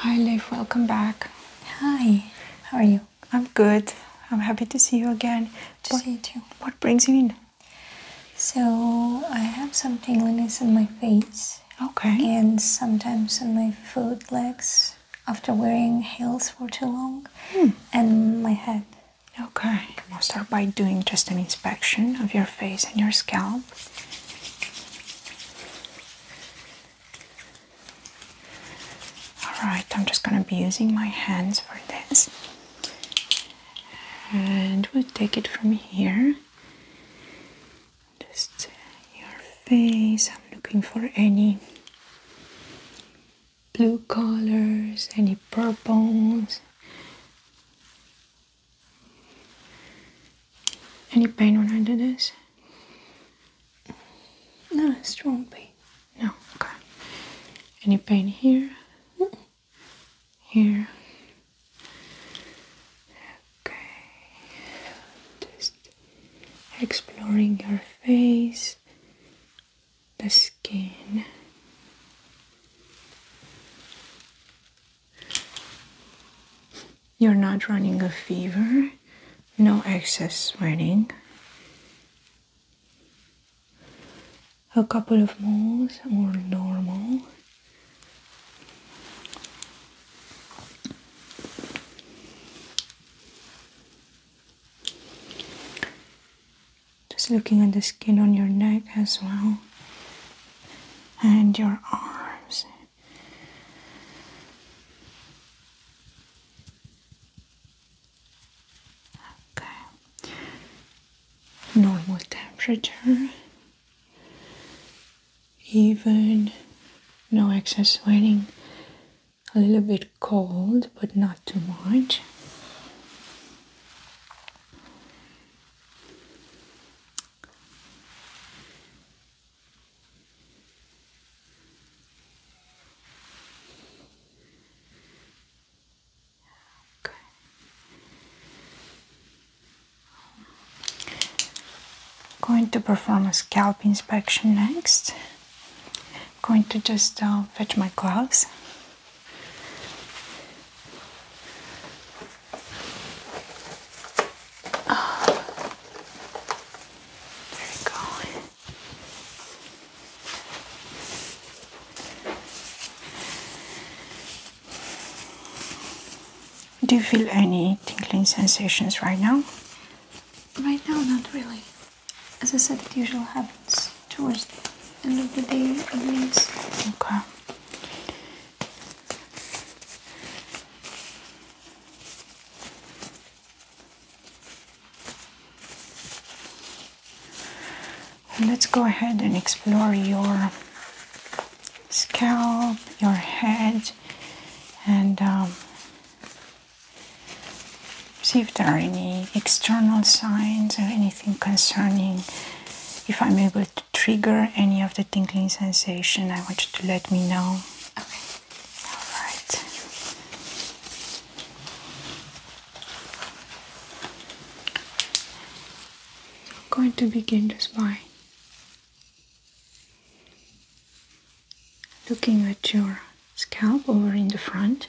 Hi, Liv. Welcome back. Hi. How are you? I'm good. I'm happy to see you again. To what, too. What brings you in? So I have some tingliness in my face. Okay. And sometimes in my foot legs after wearing heels for too long hmm. and my head. Okay, i will start by doing just an inspection of your face and your scalp. Alright, I'm just gonna be using my hands for this. And we'll take it from here. Just your face. I'm looking for any blue colors, any purples, any pain when I do this? No, it's not pain. No, okay. Any pain here? Here. Okay. Just exploring your face the skin. You're not running a fever, no excess sweating. A couple of moles or normal. Just looking at the skin on your neck as well, and your arms. Okay, normal temperature, even no excess sweating a little bit cold, but not too much. Okay. going to perform a scalp inspection next going to just uh, fetch my gloves. There we go. Do you feel any tingling sensations right now? Right now, not really as I said, it usually happens towards the end of the day, at least. Okay. Let's go ahead and explore your scalp, your head, and um, See if there are any external signs or anything concerning. If I'm able to trigger any of the tingling sensation, I want you to let me know. Okay. All right. I'm going to begin just by looking at your scalp over in the front.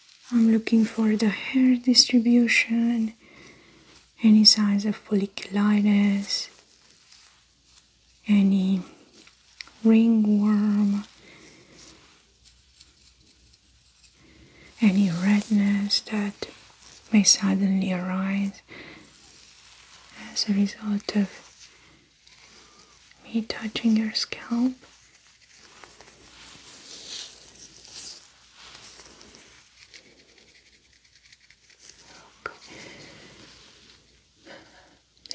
I'm looking for the hair distribution, any signs of folliculitis, any ringworm, any redness that may suddenly arise as a result of me touching your scalp. Okay.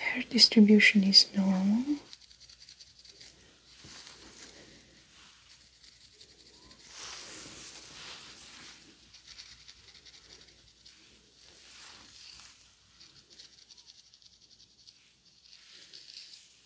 Hair distribution is normal.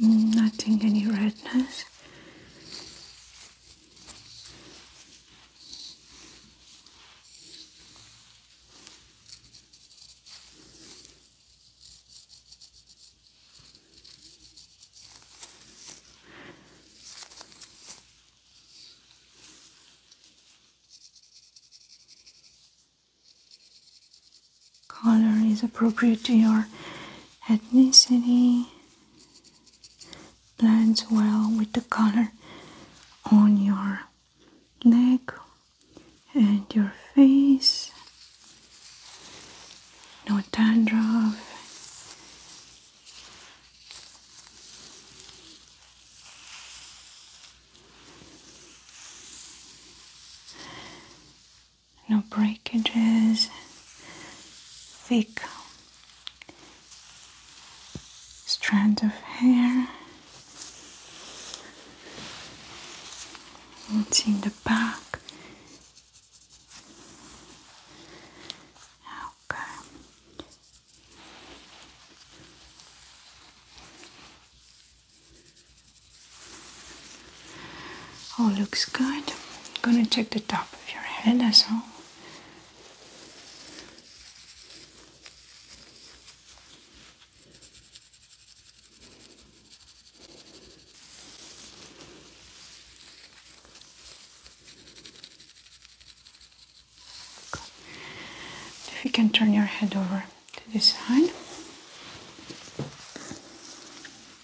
Mm, nothing, any redness color is appropriate to your ethnicity, blends well with the color on your neck and your face. No dandruff no breakages, thick strands of hair. What's in the back? Okay. All looks good. I'm gonna check the top of your head as well. If you can turn your head over to this side.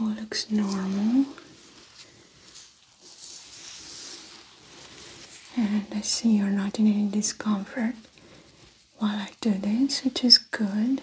All looks normal, and I see you're not in any discomfort while I do this, which is good.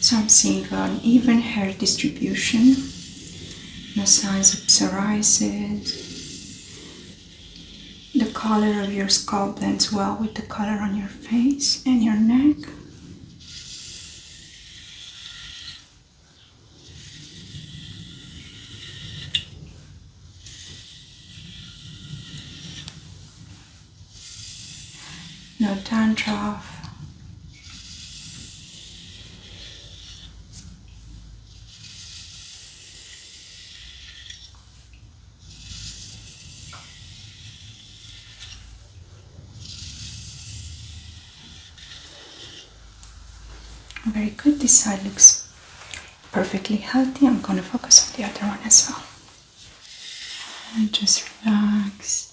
something on even hair distribution, no signs of psoriasis, the color of your skull blends well with the color on your face and your neck. No dandruff. Very good, this side looks perfectly healthy. I'm going to focus on the other one as well. And just relax.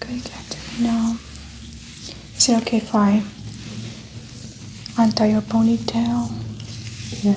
Very good. I'm now. Is it okay if I untie your ponytail? Yeah.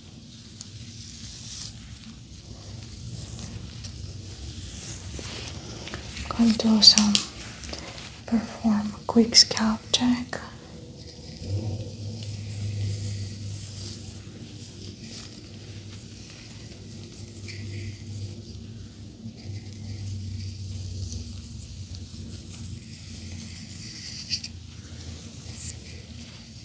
I'm going to perform quick scalp check.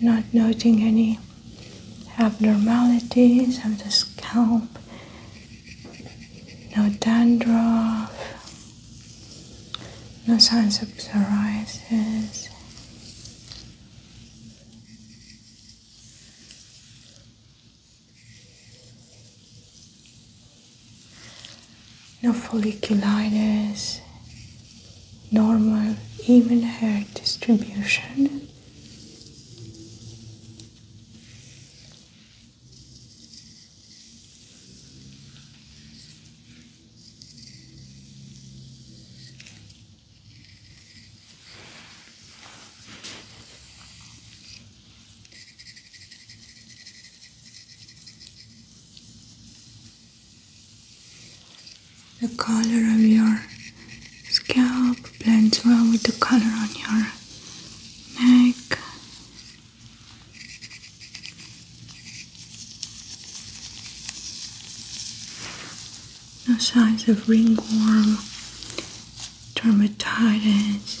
not noting any abnormalities of the scalp, no dandruff, no signs of psoriasis no folliculitis, normal even hair distribution. The color of your scalp blends well with the color on your neck. No signs of ringworm, dermatitis,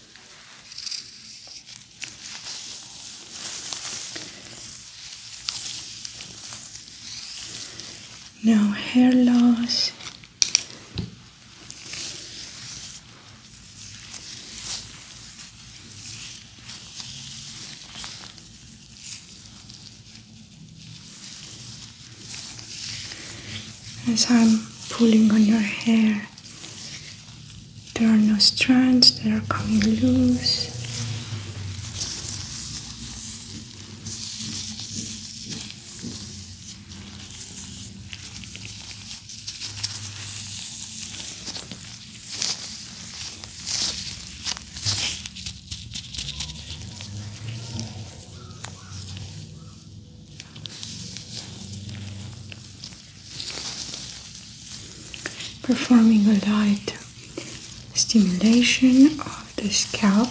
No hair loss as I'm pulling on your hair, there are no strands that are coming loose performing a light stimulation of the scalp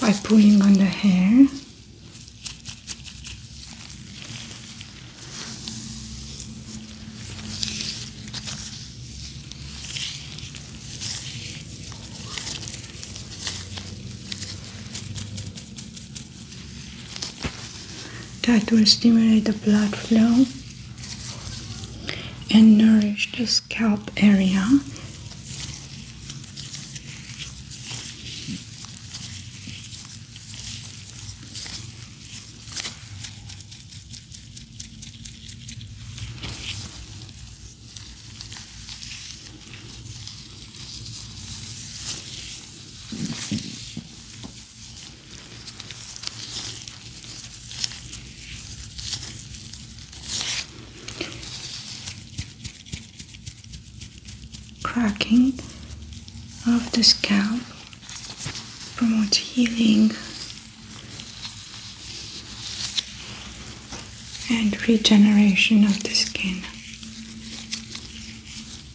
by pulling on the hair. That will stimulate the blood flow and nourish the scalp area. Cracking of the scalp promotes healing and regeneration of the skin.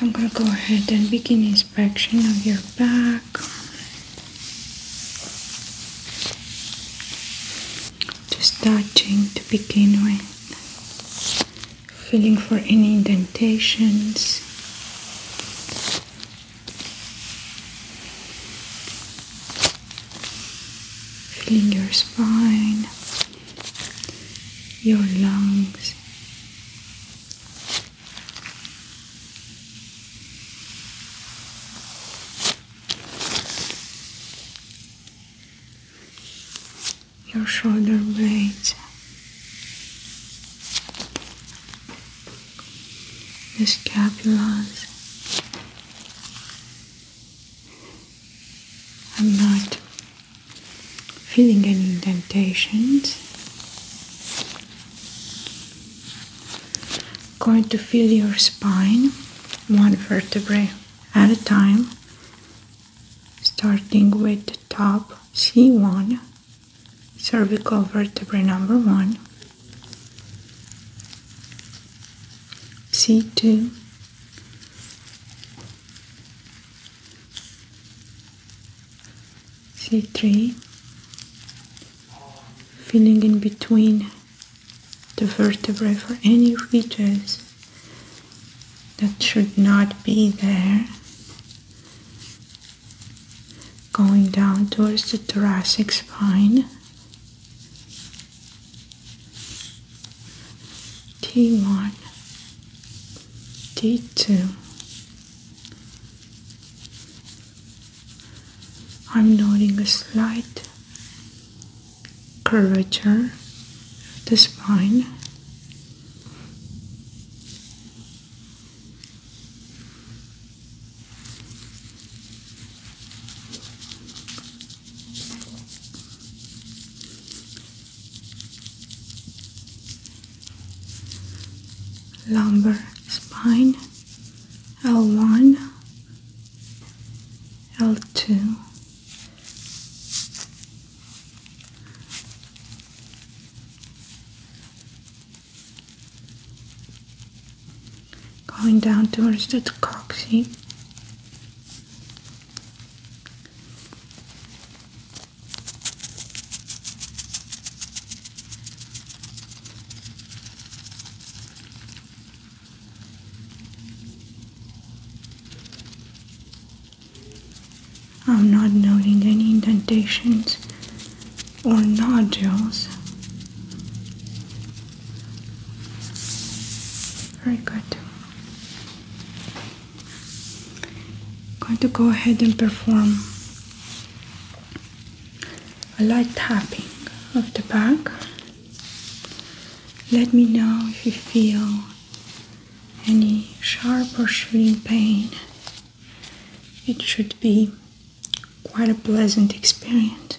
I'm gonna go ahead and begin inspection of your back. Just touching to begin with, feeling for any indentations, Feeling your spine, your lungs. Your shoulder blades, the scapulas. I'm not feeling any indentations. Going to feel your spine one vertebra at a time, starting with the top C1, cervical vertebra number one. C2 C3 filling in between the vertebrae for any ridges that should not be there going down towards the thoracic spine T1, T2. I'm noting a slight curvature of the spine lumbar spine L1 L2 Going down towards the coccyx. I'm not noting any indentations or nodules. Very good. I'm going to go ahead and perform a light tapping of the back. Let me know if you feel any sharp or shooting pain. It should be quite a pleasant experience.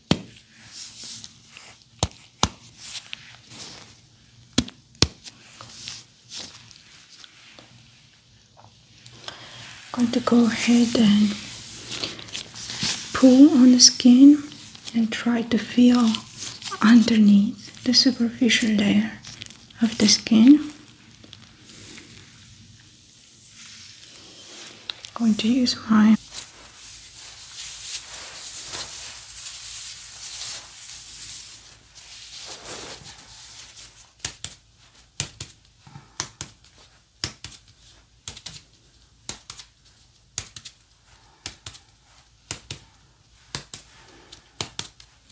I'm going to go ahead and pull on the skin and try to feel underneath the superficial layer of the skin. going to use my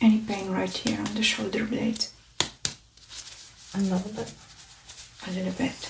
any pain right here on the shoulder blade? A little bit. A little bit.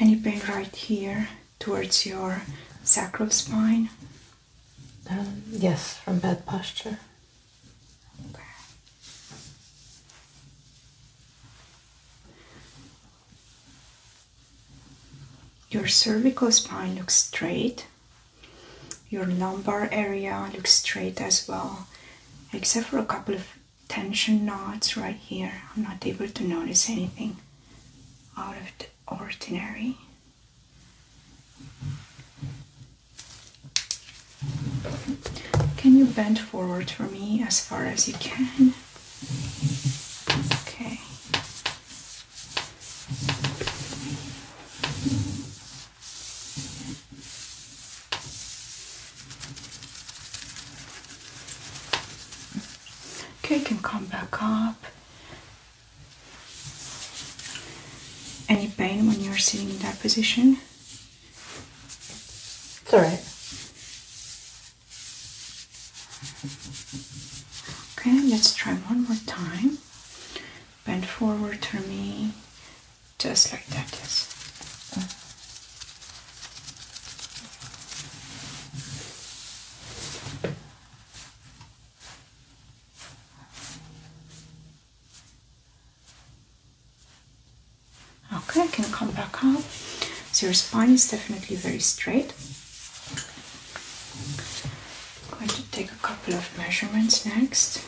Any pain right here towards your sacral spine? Um, yes, from bad posture. Your cervical spine looks straight your lumbar area looks straight as well, except for a couple of tension knots right here. I'm not able to notice anything out of the ordinary. Can you bend forward for me as far as you can? Okay. Okay, can come back up. Any pain when you're sitting in that position? It's alright. Okay, let's try one more time. Bend forward for me just like that, yes. Okay, I can come back up. So your spine is definitely very straight. going to take a couple of measurements next.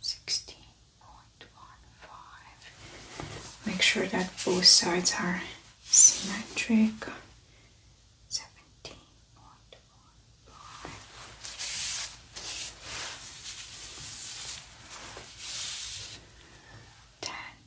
Sixteen point one five. Make sure that both sides are symmetric. Seventeen point one five. Ten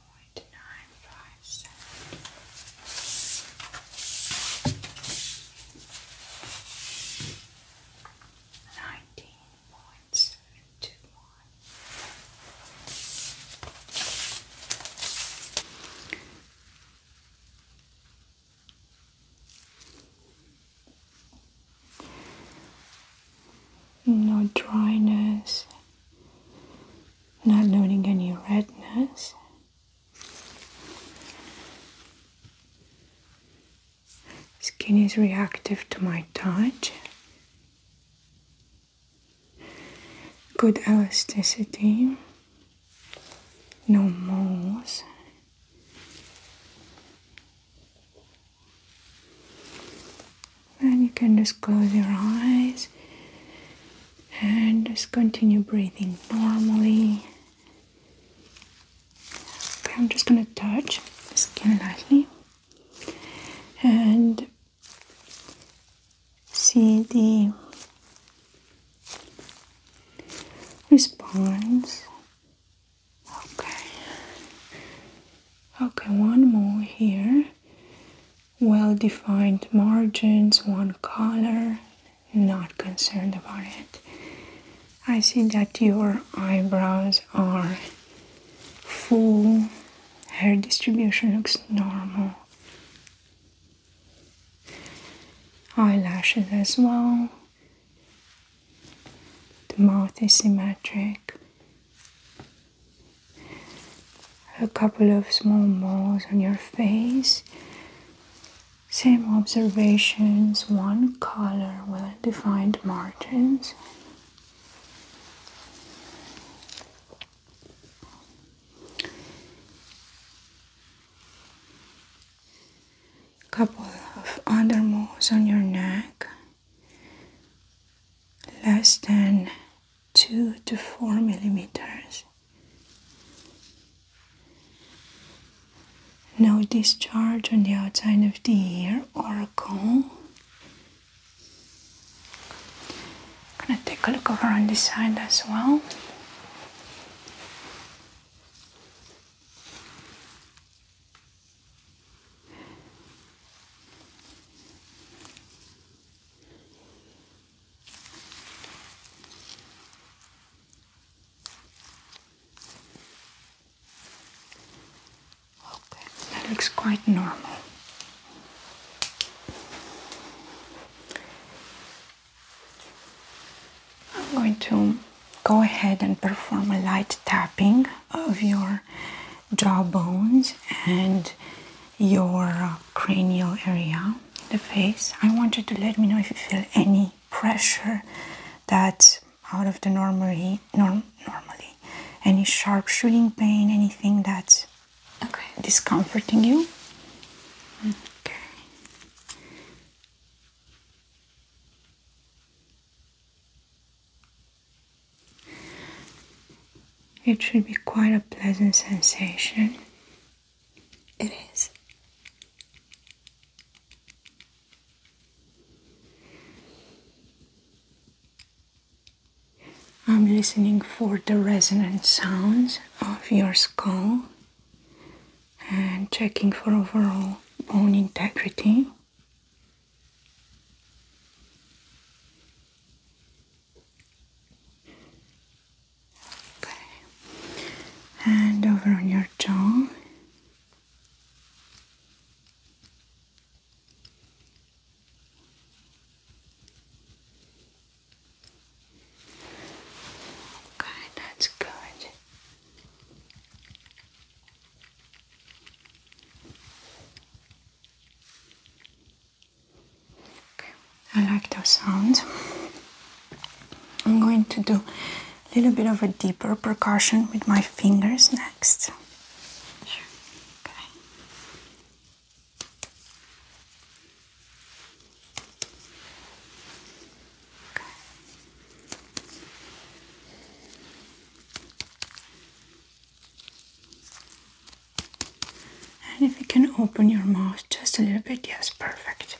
point nine five seven nineteen point seven two one no dryness, not noting any redness, Skin is reactive to my touch. Good elasticity. No moles. And you can just close your eyes and just continue breathing normally. Okay, I'm just gonna touch the skin lightly and see the response. Okay, okay, one more here well defined margins, one color, not concerned about it. I see that your eyebrows are full, hair distribution looks normal. Eyelashes as well. The mouth is symmetric a couple of small moles on your face. Same observations, one color, well defined margins. Couple of other moles on your neck, less than two to four millimeters. No discharge on the outside of the ear or a cone. i gonna take a look over on this side as well. Okay, that looks quite normal. I'm going to go ahead and perform a light tapping of your jaw bones and your uh, cranial area, the face. I want you to let me know if you feel any pressure that's out of the normally, norm, normally, any sharp shooting pain, anything that's discomforting you. Okay. It should be quite a pleasant sensation. It is. I'm listening for the resonant sounds of your skull and checking for overall bone integrity. Okay. And over on your jaw. Okay, that's good. I like those sounds. I'm going to do a little bit of a deeper percussion with my fingers next. And if you can open your mouth just a little bit, yes, perfect.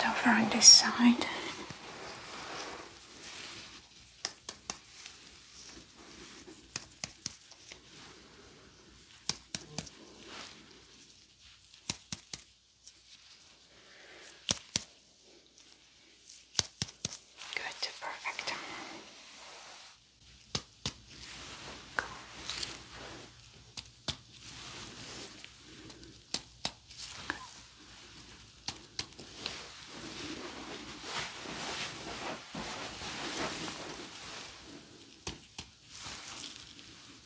And over on this side. Good, perfect. Good.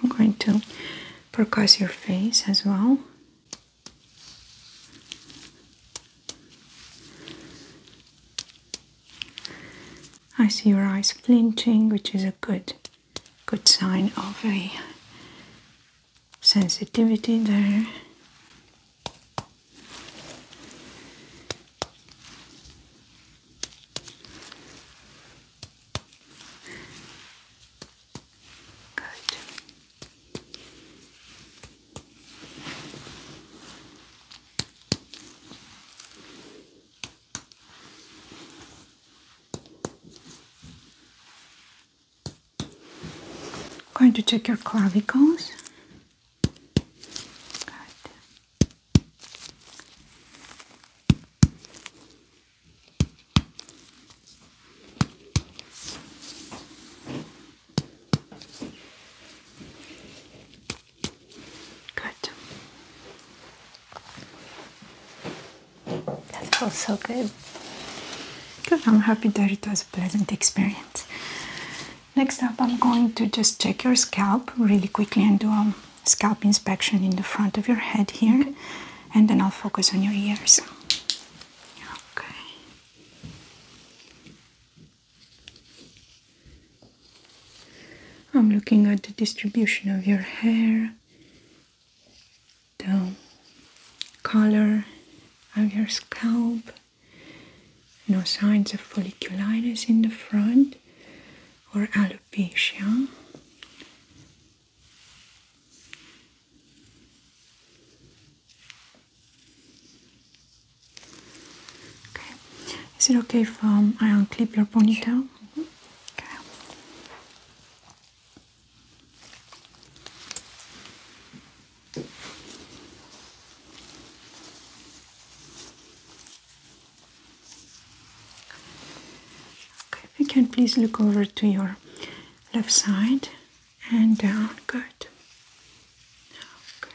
I'm going to percuss your face as well. I see your eyes flinching, which is a good good sign of a sensitivity there going to check your clavicles. Good. That feels so good. Good, I'm happy that it was a pleasant experience. Next up, I'm going to just check your scalp really quickly and do a scalp inspection in the front of your head here, and then I'll focus on your ears. Okay. I'm looking at the distribution of your hair the color of your scalp. No signs of folliculitis in the front or alopecia. Okay. Is it okay if um, I unclip your ponytail? Okay, if you can please look over to your left side and down. Good. Okay.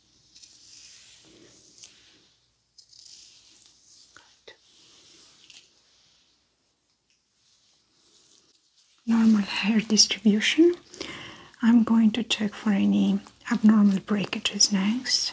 Normal hair distribution. I'm going to check for any abnormal breakages next.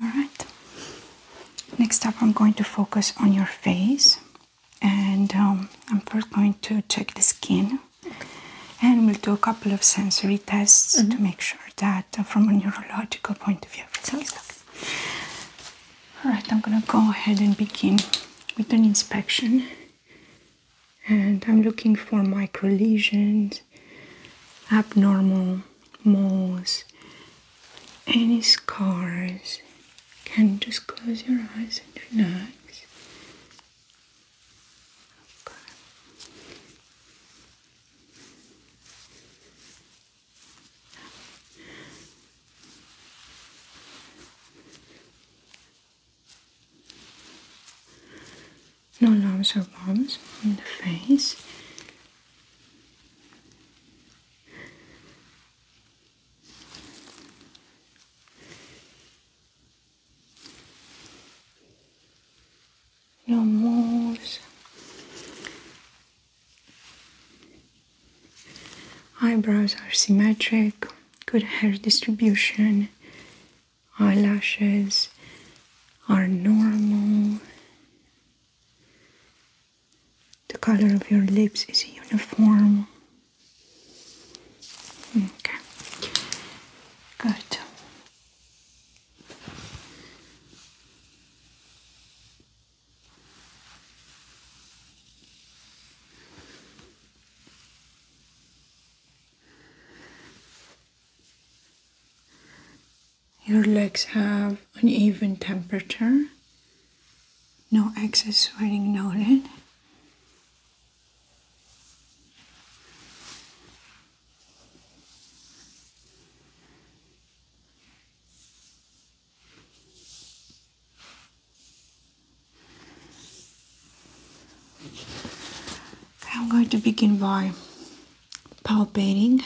All right. Next up, I'm going to focus on your face, and um, I'm first going to check the skin, and we'll do a couple of sensory tests to mm-hmm. make sure that, uh, from a neurological point of view, All right. I'm gonna go ahead and begin with an inspection and I'm looking for micro lesions, abnormal moles, any scars. Can just close your eyes and relax. No lumps or bumps in the face. No moles. Eyebrows are symmetric, good hair distribution, eyelashes are normal, the color of your lips is uniform. Okay, good. Your legs have an even temperature, no excess sweating noted. I'm going to begin by palpating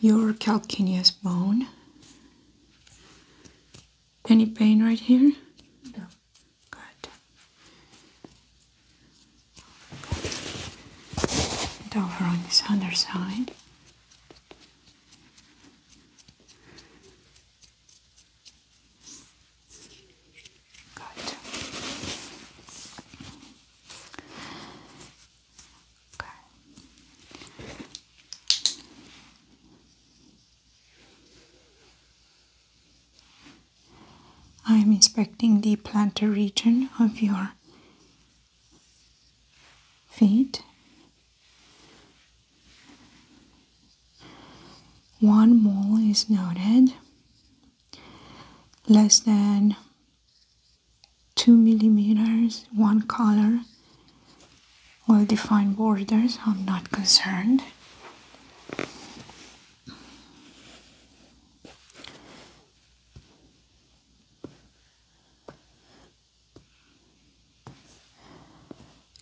your calcaneus bone. Any pain right here? No. Good. And over on this underside. Good. Okay. I am inspecting the plantar region of your feet. One mole is noted, less than two millimeters, one color, well defined borders, I'm not concerned.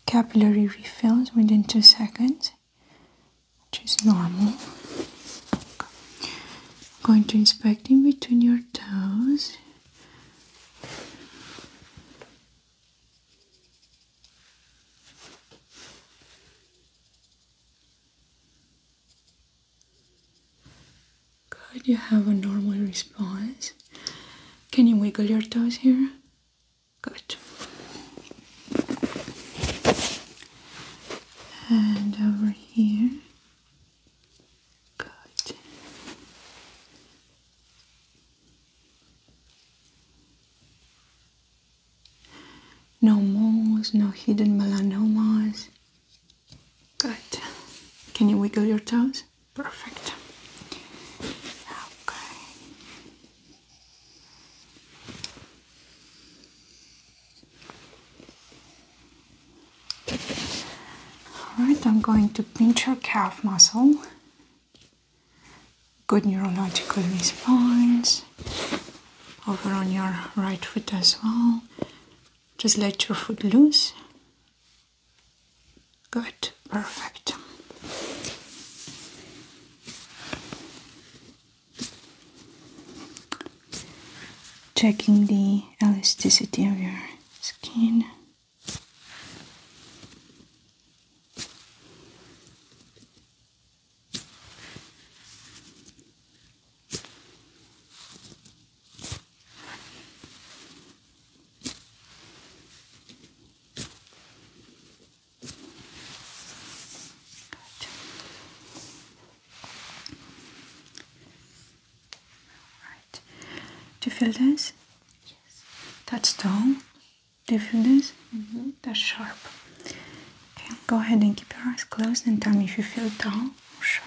Capillary refills within two seconds, which is normal. going to inspect in between your toes. Good, you have a normal response. Can you wiggle your toes here? Good. And over here. Good. No moles, no hidden melanomas. Good. Can you wiggle your toes? Perfect. Okay. All right, I'm going to pinch your calf muscle. Good neurological response. Over on your right foot as well. Just let your foot loose. Good, perfect. Checking the elasticity of your skin. Do you feel this? Yes. That's dull. Do you feel this? Mm-hmm. That's sharp. Okay, go ahead and keep your eyes closed and tell me if you feel dull or sharp.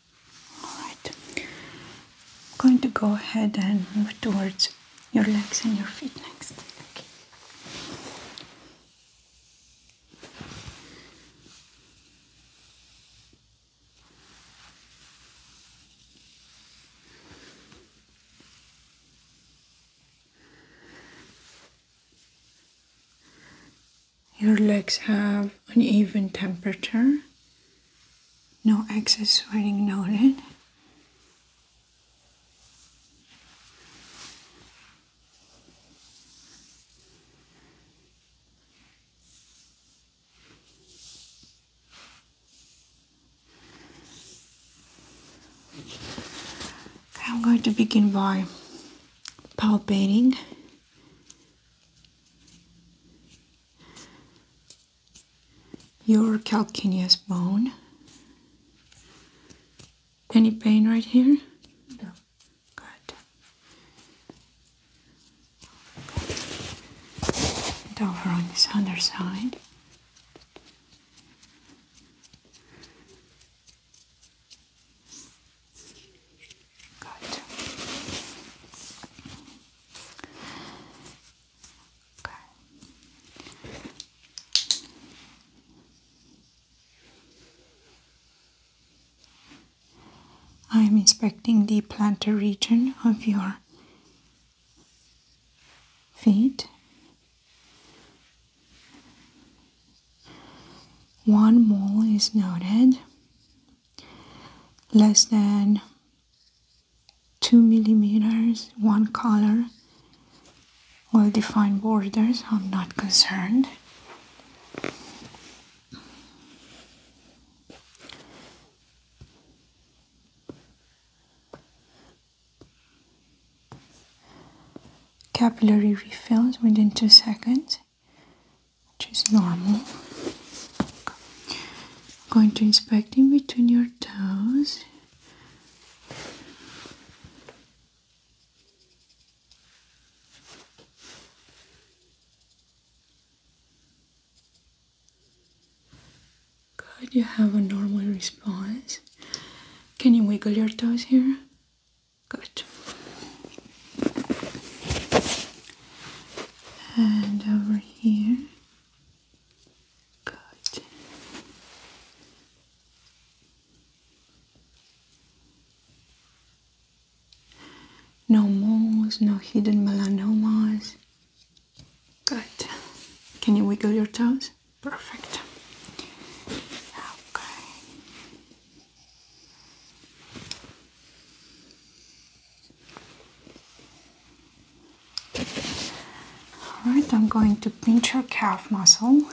Alright, I'm going to go ahead and move towards your legs and your feet next. Your legs have an even temperature, no excess sweating noted. I'm going to begin by palpating your calcaneus bone. Any pain right here? No. Good. And over on this underside. Good. I'm inspecting the plantar region of your feet. One mole is noted less than 2 millimeters, one color, well-defined borders, I'm not concerned. Capillary refills within 2 seconds which is normal. I'm going to inspect in between your toes. Good, you have a normal response. Can you wiggle your toes here? Good and over here. Good. No moles, no hidden melanomas. Good. Can you wiggle your toes? Perfect. Okay. All right, I'm going to pinch your calf muscle.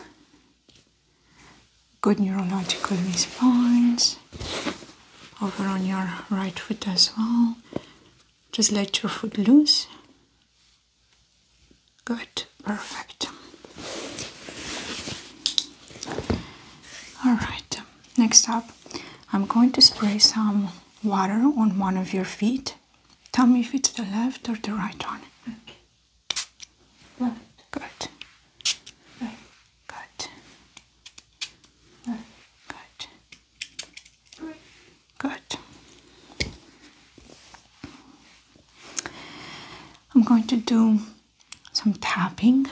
Good neurological response. Over on your right foot as well. Just let your foot loose. Good, perfect. All right, next up, I'm going to spray some water on one of your feet. Tell me if it's the left or the right one. Left. Good. Right. Good. Left. Good. Right. Good. I'm going to do some tapping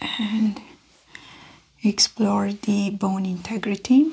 and explore the bone integrity.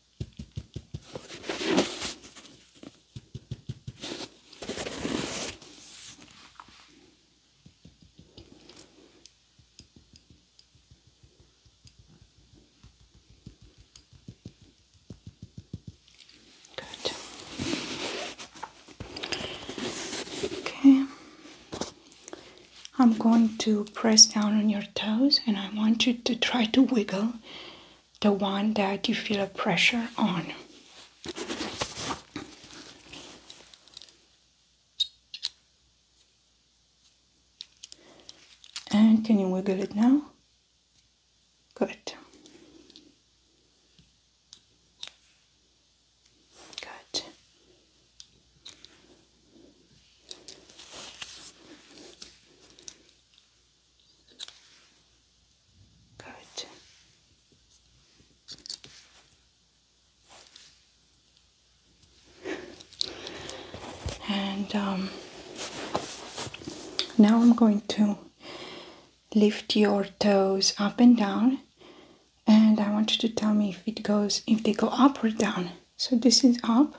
Good. Okay. I'm going to press down on your toes and I want you to try to wiggle the one that you feel a pressure on. And can you wiggle it now? Good. Good. Good. And um, now I'm going to lift your toes up and down and I want you to tell me if it goes if they go up or down so this is up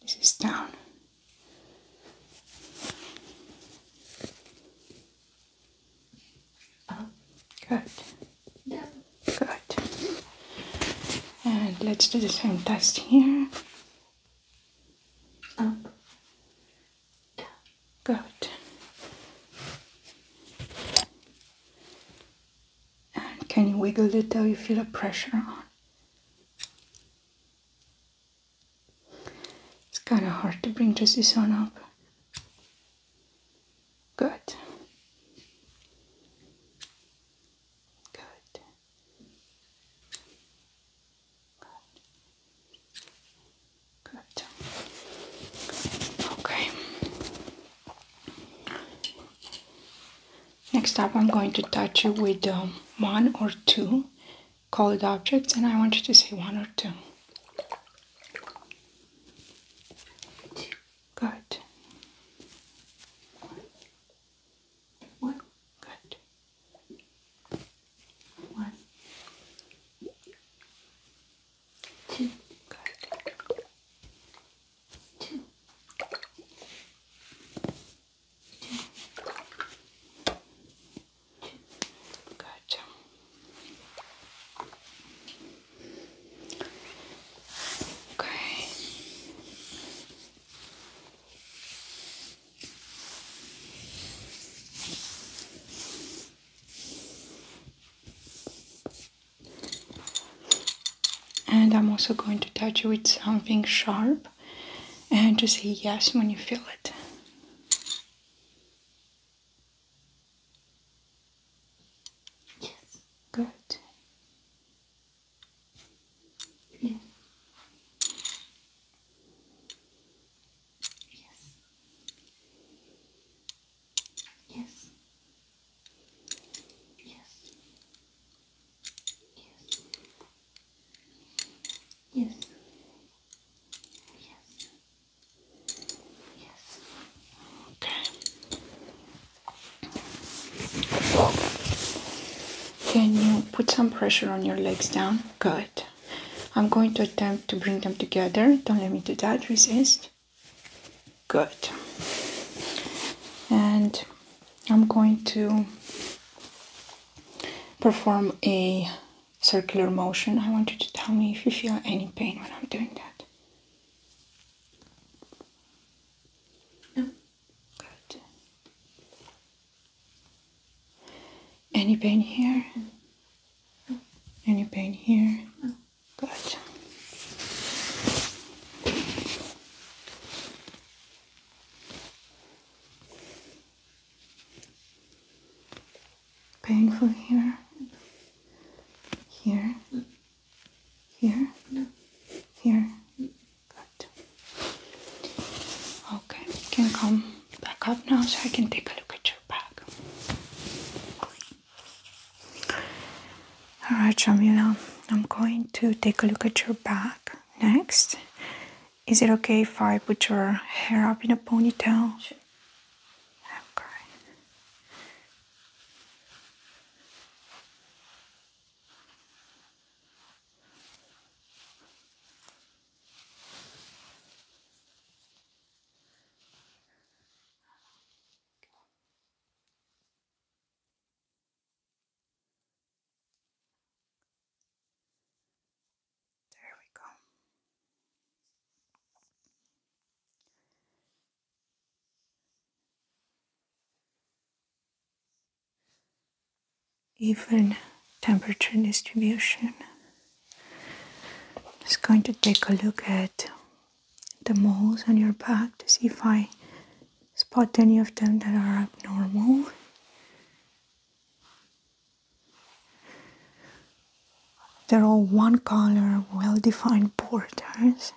this is down Oh, good. Yeah. Good. And let's do the same test here. Good. And can you wiggle it till you feel a pressure on? It's kind of hard to bring just this one up. Good. Good. Good. Okay. Next up, I'm going to touch you with um, one or two colored objects, and I want you to say one or two. Good. One. Good. One. Two. Good. Two. Good. Okay. And I'm also going to touch you with something sharp and to say yes when you feel it. Yes. Good. Yes. Yes. Yes. Yes. Yes. Yes. Okay. Can you put some pressure on your legs down? Good. I'm going to attempt to bring them together. Don't let me do that. Resist. Good. And I'm going to perform a circular motion. I want you to tell me if you feel any pain when I'm doing that. No? Good. Any pain here? Any pain here? No. Good. Painful here, here, here, here. Good. Okay, you can come back up now so I can take a look at your back. Alright, Jamila, I'm going to take a look at your back next is it okay if I put your hair up in a ponytail? Sure. Okay. There we go. Even temperature distribution. I'm just going to take a look at the moles on your back to see if I spot any of them that are abnormal. They're all one color, well defined borders.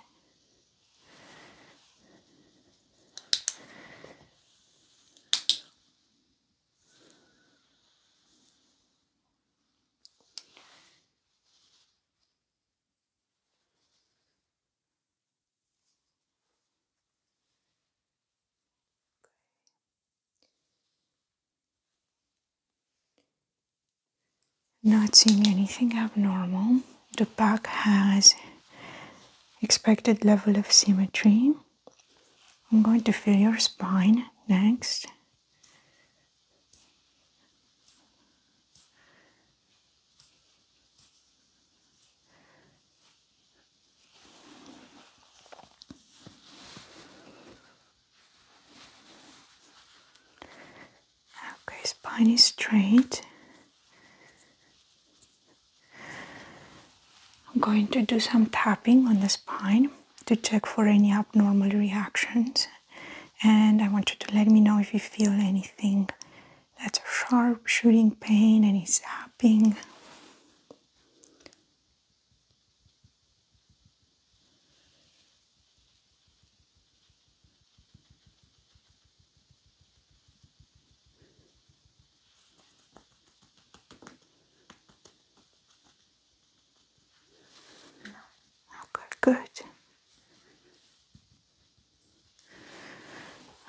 Not seeing anything abnormal. The back has expected level of symmetry. I'm going to feel your spine next. Okay, spine is straight. I'm going to do some tapping on the spine to check for any abnormal reactions. And I want you to let me know if you feel anything that's sharp, shooting pain, and any zapping. Okay, good.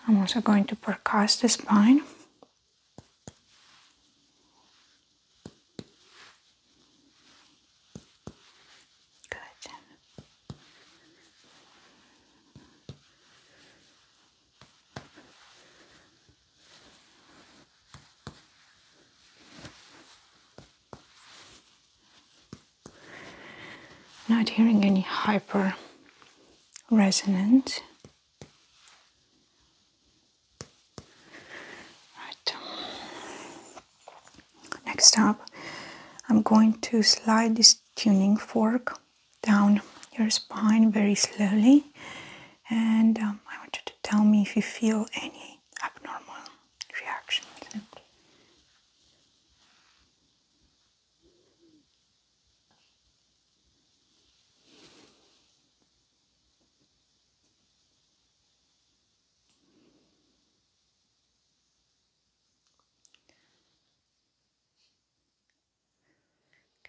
I'm also going to percuss the spine Good. Not hearing any hyper resonance Next up, I'm going to slide this tuning fork down your spine very slowly and um, I want you to tell me if you feel any abnormal reactions.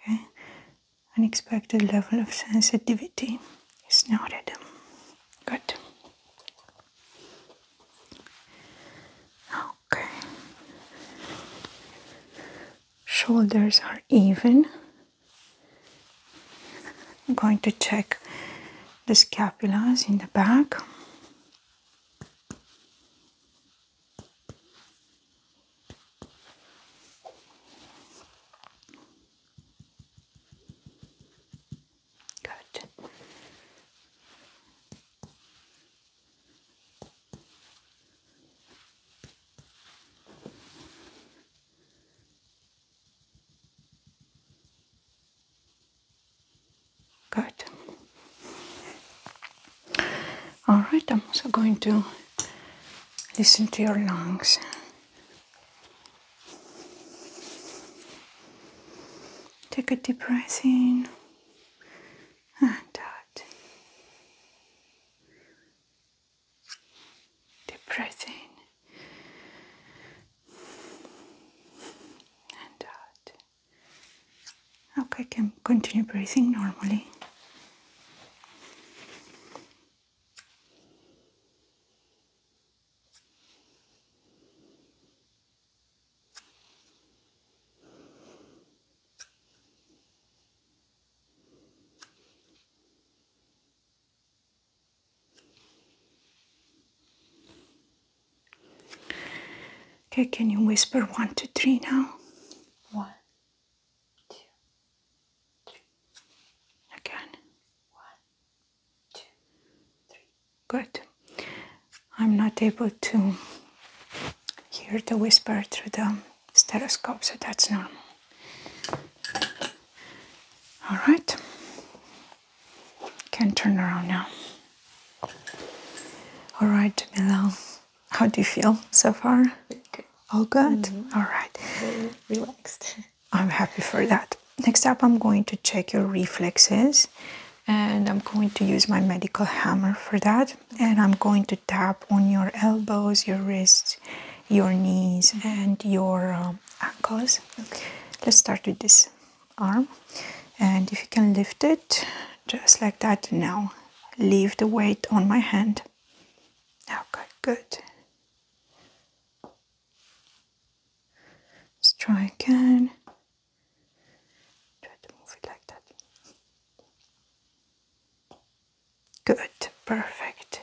Okay, unexpected level of sensitivity It's not is noted. Good. Okay shoulders are even. I'm going to check the scapulas in the back. Good. All right, I'm also going to listen to your lungs. Take a deep breath in and out. Depressing. and out. Okay, can continue breathing normally. Okay, can you whisper one, two, three now? One, two, three. Again. One, two, three. Good. I'm not able to hear the whisper through the stethoscope, so that's normal. All right, can turn around now. All right, Mila, how do you feel so far? All good. Mm-hmm. All right. relaxed. I'm happy for that. Next up, I'm going to check your reflexes, and I'm going to use my medical hammer for that and I'm going to tap on your elbows, your wrists, your knees, mm-hmm. and your um, ankles. Let's start with this arm, and if you can lift it just like that now, leave the weight on my hand. Okay, good. good. Let's try again. Good, perfect.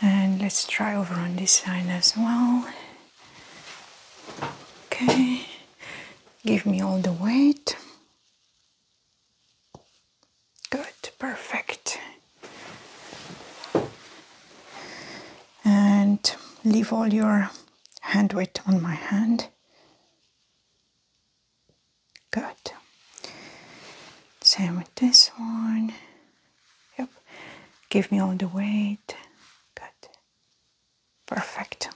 And let's try over on this side as well. Okay, give me all the weight. Good, perfect. And leave all your hand weight on my hand. Good. Same with this one. Yep. Give me all the weight. Good. Perfect.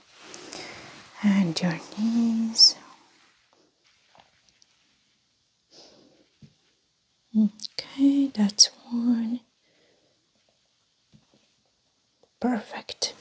And your knees. Okay, that's one. Perfect.